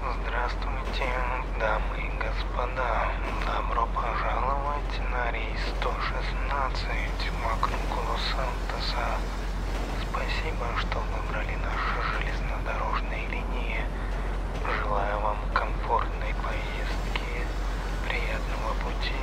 Здравствуйте, дамы и господа. Добро пожаловать на рейс 116 вокруг Лос-Сантоса. Спасибо, что выбрали наши железнодорожные линии. Желаю вам комфортной поездки, приятного пути.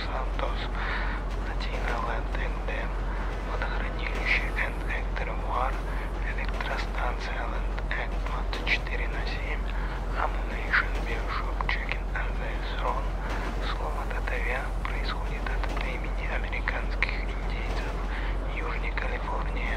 Los Santos, Latina Land НД, водохранилище Энд Эктервуар, электростанция Land Эк 24 на 7, Ammunition Bioshop Chicken and the Throne. Слово «татавя» происходит от имени американских индейцев Южной Калифорнии.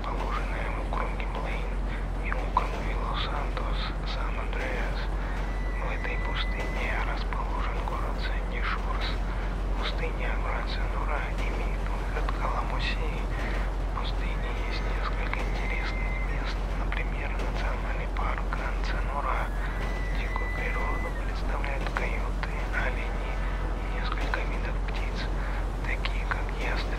расположенная в округе Блейн и округе Лос-Сантос, Сан-Андреас. В этой пустыне расположен город Сэнди-Шурс, пустыня Бранса-Нура имеет выход к Аламусии. В пустыне есть несколько интересных мест, например, национальный парк Гранца-Нура. Дикую природу представляют койоты, олени и несколько видов птиц, такие как ястреб.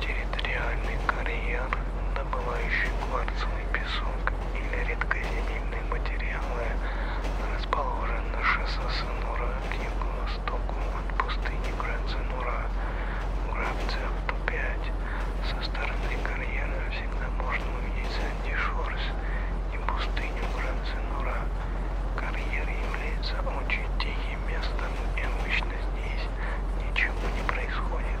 территориальный карьер, добывающий кварцевый песок или редкоземельные материалы расположен на шоссе Сынура к юго-востоку от пустыни Гранд-Сынура. Грабцев 5 со стороны карьера всегда можно увидеть Санди Шорс и пустыню Гранд-Сынура. Карьер является очень тихим местом и обычно здесь ничего не происходит.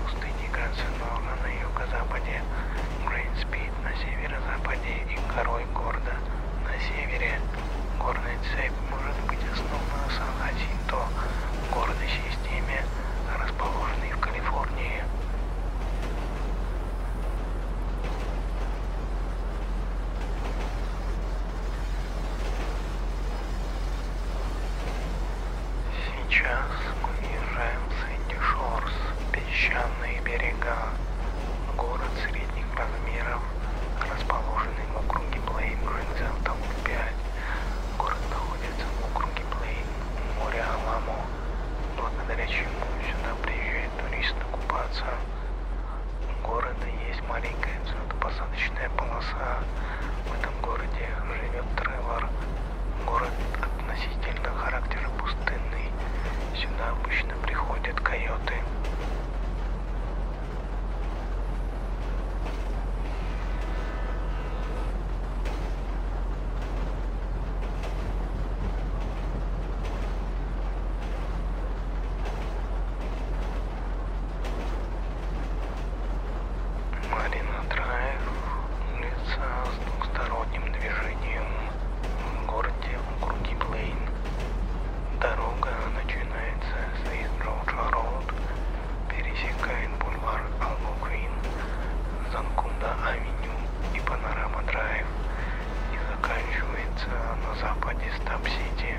пустыни Грансенбауна на юго-западе, Грейнспид на северо-западе и горой Горда на севере. Горная цепь может быть основана Сан-Хасинто, горной системе, расположенной в Калифорнии. Сейчас мы езжаем Сэнди Шорс, песчаные берега, город средних размеров, расположенный в округе Плейн Гринзентом 5. Город находится в округе Плейн, море Аламо, благодаря чему сюда приезжают туристы купаться. У города есть маленькая взлетно-посадочная полоса. В этом городе живет Тревор, Город относительно характера пустынный. Сюда обычно приходят койоты. Марина Драев, улица двухсторонним движением в городе округе Плейн. Дорога начинается с East Georgia Road, пересекает бульвар Алгоквин, Занкунда Авеню и Панорама Драйв и заканчивается на западе Стаб-Сити.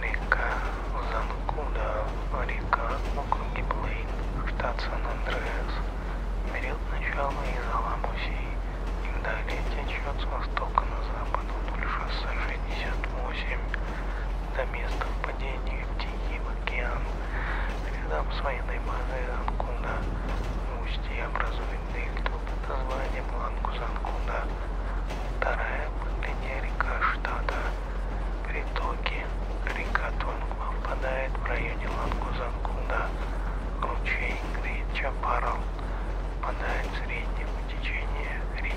Река Занкуда, а река округи Блейн, штат Сан-Андреас, берет начало из Аламуси и далее течет с востока на запад вдоль шоссе 68 до места впадения в Тихий океан, рядом с военной базой Занкуда, в устье образуется мыльный клуб под названием Лангузангуна. Вторая мыльная река штата. Притоки. Река Тонгма впадает в районе Лангузангуна. Ручей Гричапарал впадает в среднем течение реки.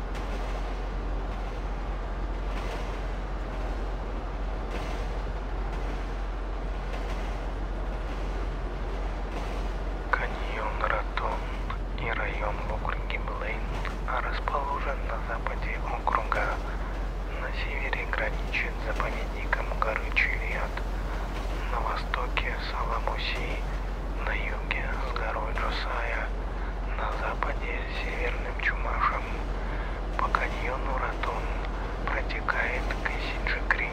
Каньон Ротон и район в округе Блейн расположен на западе округа. На севере граничит заповедником горы Чилиад, на востоке Саламуси, на юге с горой Джусая, на западе с северным Чумашем. По каньону Ратон протекает Кэсиджи-Крик.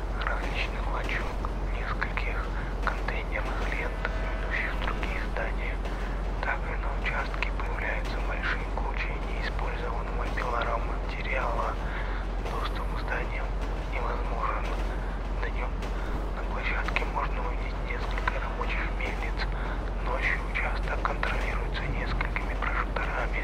различных лачуг, нескольких контейнерных лент, ведущих в другие здания. Также на участке появляются большие кучи неиспользованного пилораматериала. Доступ к зданиям невозможен. Днем на площадке можно увидеть несколько рабочих мельниц. Ночью участок контролируется несколькими прожекторами.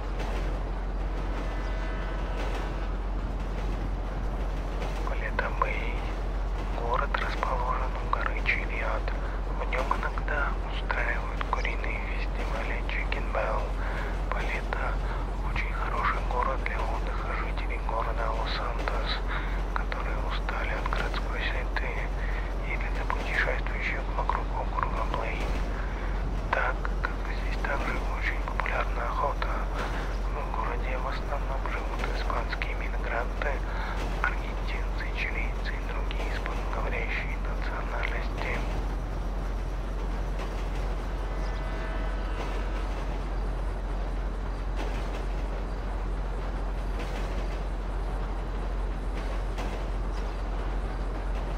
Полетомей. Город расположен у горы Чилиад. В нем иногда устраивают куриные фестивали Chicken Bell. Полета очень хороший город для отдыха жителей города Лос-Сантос, которые устали от городской суеты или для путешествующих вокруг округа Блейн. Так как здесь также очень популярна охота, в городе в основном живут испанские мигранты, аргентинцы, чилийцы и другие испаноговорящие национальности.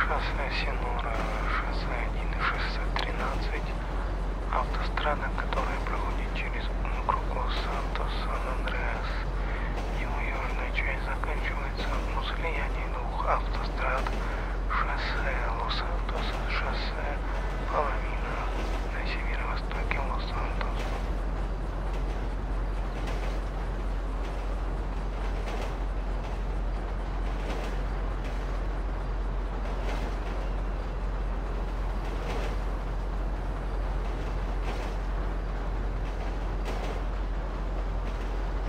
Шоссе Синура, шоссе 1 и шоссе 13, автострада, которая проходит через округ Лос-Сантос, Сан-Андреас. Его южная часть заканчивается находится на слиянии двух автострад шоссе Лос-Сантос, шоссе Паламина на северо-востоке Лос-Сантоса.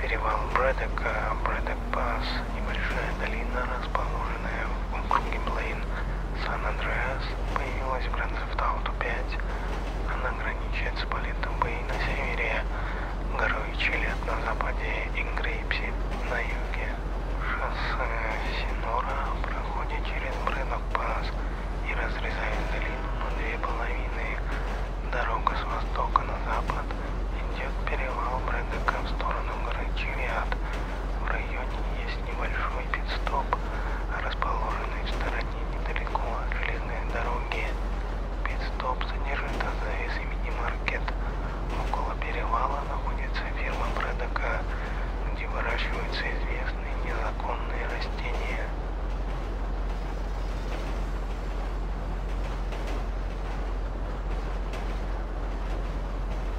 Перевал Брэдок, Брэдок Пас, небольшая долина расположена южная в округе Блейн Сан-Андреас появилась в Гранд-Зефтауто 5. Она граничит с Политобой на севере, горой Чилет на западе и Грейпси на юге. Шоссе Синора проходит через Брэдок-Пас и разрезает долину на две половины. Дорога с востока на запад идет перевал Брэдока в сторону горы Чилиад. В районе есть небольшой пидстоп, расположенный в стороне недалеко от железной дороги. Пидстоп содержит АЗС имени Маркет. Около перевала находится ферма Брэдока, где выращиваются известные незаконные растения.